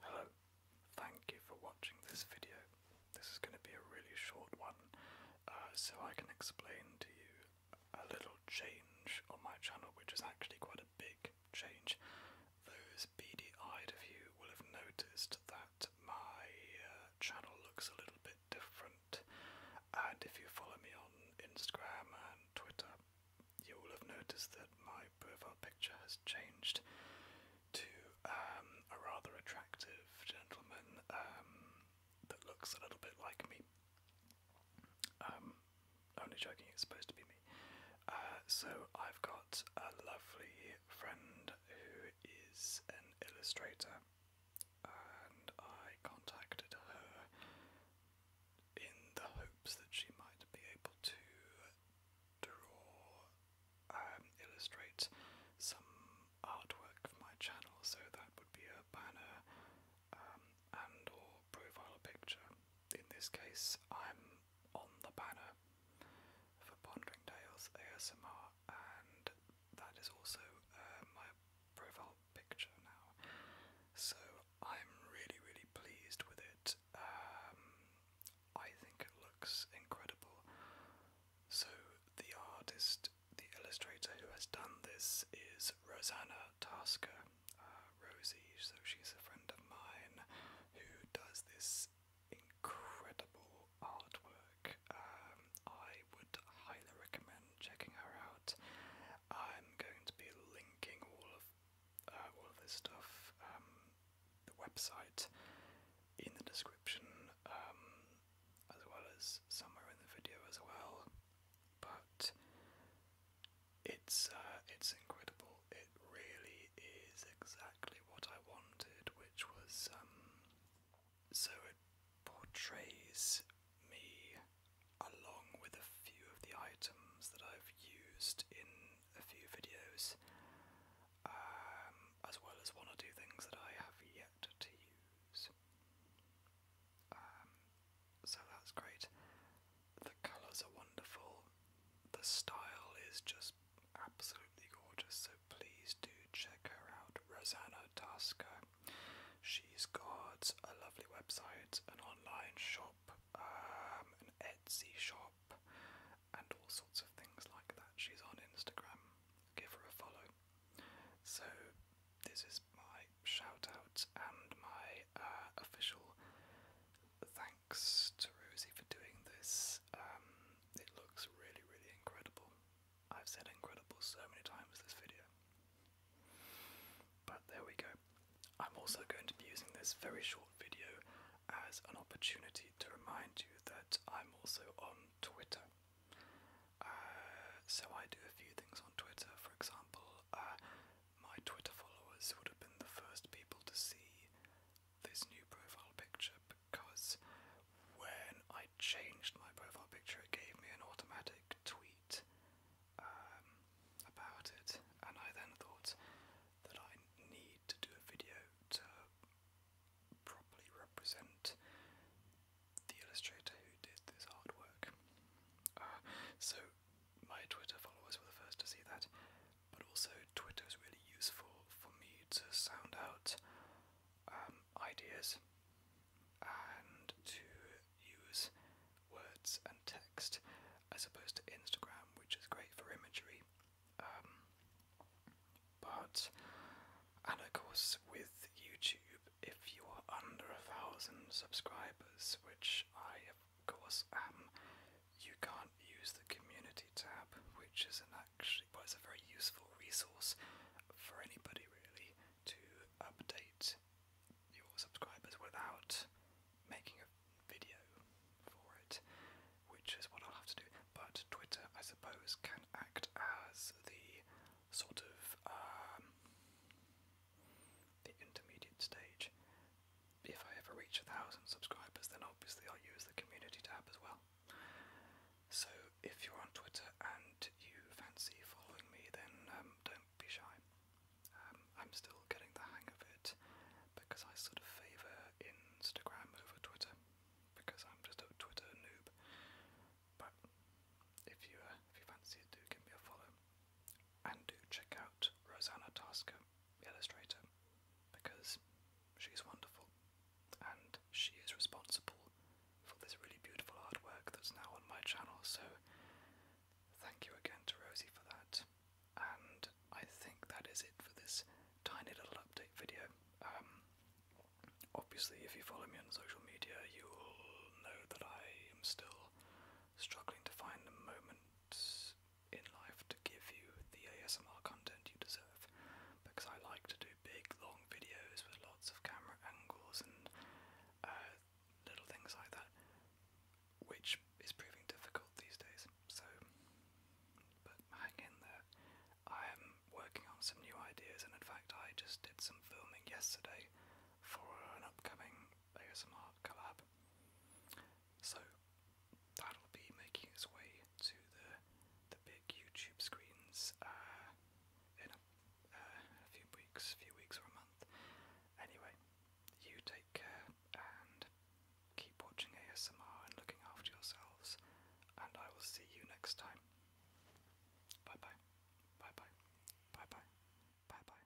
Hello, thank you for watching this video. This is going to be a really short one, uh, so I can explain to you a little change on my channel, which is actually quite a big change. Those beady eyed of you will have noticed that my uh, channel looks a little bit different. And if you follow me on Instagram and Twitter, you will have noticed that my profile picture has changed to um, a rather attractive gentleman um, that looks a little bit like me. Um, only joking, it's supposed to be me. Uh, so I've got a lovely friend who is an illustrator, and I contacted her in the hopes that she might be able to draw, um, illustrate some artwork for my channel. So that would be a banner um, and or profile picture. In this case, I'm on the banner for Pondering Tales ASMR, and that is also uh, my profile picture now. So I'm really, really pleased with it. Um, I think it looks incredible. So the artist, the illustrator who has done this is Rosanna Tasker, uh, Rosie. So she's a friend of mine who does this incredible artwork. Um, I would highly recommend checking her out. I'm going to be linking all of uh, all this stuff, um, the website, in the description, um, as well as somewhere in the video as well. But it's uh, it's incredible it really is exactly what I wanted, which was um, so it portrays me along with a few of the items that I've used in a few videos, um, as well as one or two things that I have yet to use. Um, so that's great. The colours are wonderful. The style is just absolutely gorgeous. So please do check her out, Rosanna Tasca. She's got a lovely website, an online shop, um, an Etsy shop, and all sorts of things like that. She's on Instagram. Give her a follow. So, this is my shout out and my uh, official thank thanks to Rosie for doing this. Um, it looks really, really incredible. I've said incredible so many times this video. But there we go. I'm also going to be using this very short video as an opportunity to remind you that I'm also on Twitter. Uh, so I do a few things on Twitter. For example, uh, my Twitter followers would have been the first people to see this new profile picture because when I changed my profile picture, it gave me an automatic tweet um, about it, and I then thought that I need to do a video to properly represent the illustrator who did this hard work. Uh, so my Twitter followers were the first to see that, but also Twitter is really useful for me to sound out um, ideas and to use words and text as opposed to Instagram, which is great for imagery. Um, but, and of course, with YouTube, if you are under a thousand subscribers, which I of course am, you can't use the community tab, which is an actually was a very useful resource for anybody really to update your subscribers without making a video for it, which is what I'll have to do. But Twitter, I suppose, can act as the sort of um, the intermediate stage. If I ever reach a thousand subscribers, then obviously I'll use the community tab as well. So if you're on Twitter and you fancy following me, then um, don't be shy. Um, I'm still getting the hang of it because I sort of favour Instagram over Twitter because I'm just a Twitter noob. But if you uh, if you fancy it, do give me a follow and do check out Rosanna Tasker, illustrator, because She's wonderful, and she is responsible for this really beautiful artwork that's now on my channel, so thank you again to Rosie for that. And I think that is it for this tiny little update video. Um, obviously, if you follow me on social media, you'll know that I am still struggling to find the moment in life to give you the ASMR content you deserve because I like to do big long videos with lots of camera angles and uh, little things like that, which is proving difficult these days. So, but hang in there. I am working on some new ideas, and in fact, I just did some filming yesterday for an upcoming ASMR collab. So, that'll be making its way to the the big YouTube screens uh, in a, uh, a few weeks, few weeks or a month. Anyway, you take care and keep watching ASMR and looking after yourselves, and I will see you next time. Bye bye, bye bye, bye bye, bye bye, bye bye.